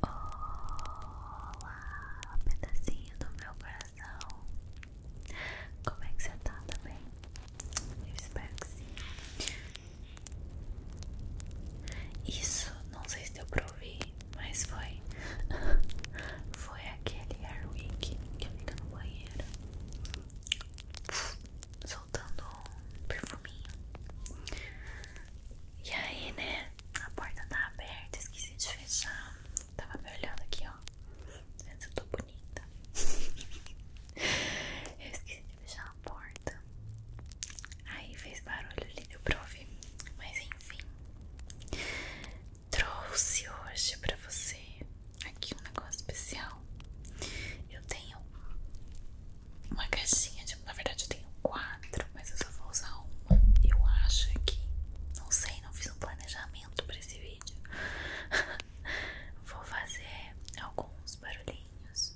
Olá, pedacinho do meu coração. Como é que você tá? Tá bem? Eu espero que sim. Isso, não sei se deu pra ouvir, mas foi. foi aquele Airwick que eu fica no banheiro soltando um perfuminho. E aí, né? A porta tá aberta, esqueci de fechar. Tava me olhando aqui, ó. Mas eu tô bonita. eu esqueci de fechar a porta. Aí fez barulho ali, deu pra ouvir. Mas enfim. Trouxe hoje pra você aqui um negócio especial. Eu tenho uma caixinha de. Na verdade eu tenho quatro, mas eu só vou usar uma. Eu acho que. Não sei, não fiz um planejamento pra esse vídeo. vou fazer alguns barulhinhos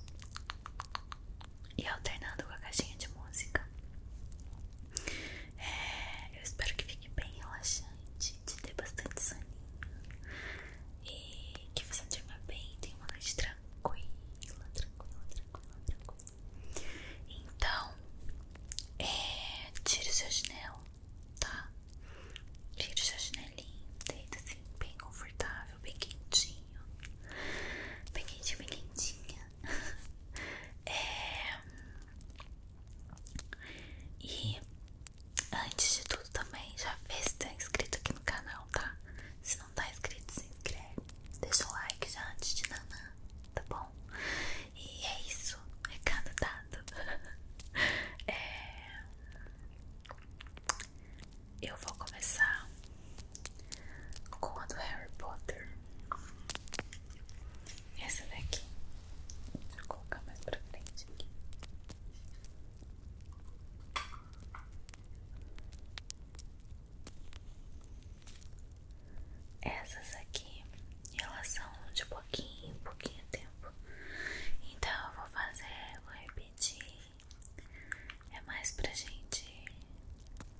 e alternando com a caixinha de música. É, eu espero que fique bem relaxante, te dê bastante soninho e que você durma bem, tenha uma noite tranquila, tranquila, então, é, tira o seu chinelo, tá? Tira o seu chinelinho, deita assim, bem confortável, bem quentinho. Bem quentinho, bem quentinha. É, e antes de tudo também, já vê se tá inscrito aqui no canal, tá? Se se não tá inscrito, se inscreve. Deixa o like já antes de nanã, tá bom? E é isso. Recado dado. É, eu vou começar com a do Harry Potter. Essa daqui. Vou colocar mais pra frente aqui. Essas aqui, elas são de pouquinho, pouquinho tempo. Então eu vou fazer, vou repetir. É mais pra gente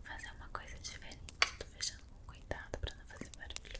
fazer uma coisa diferente. Tô fechando com cuidado pra não fazer barulho.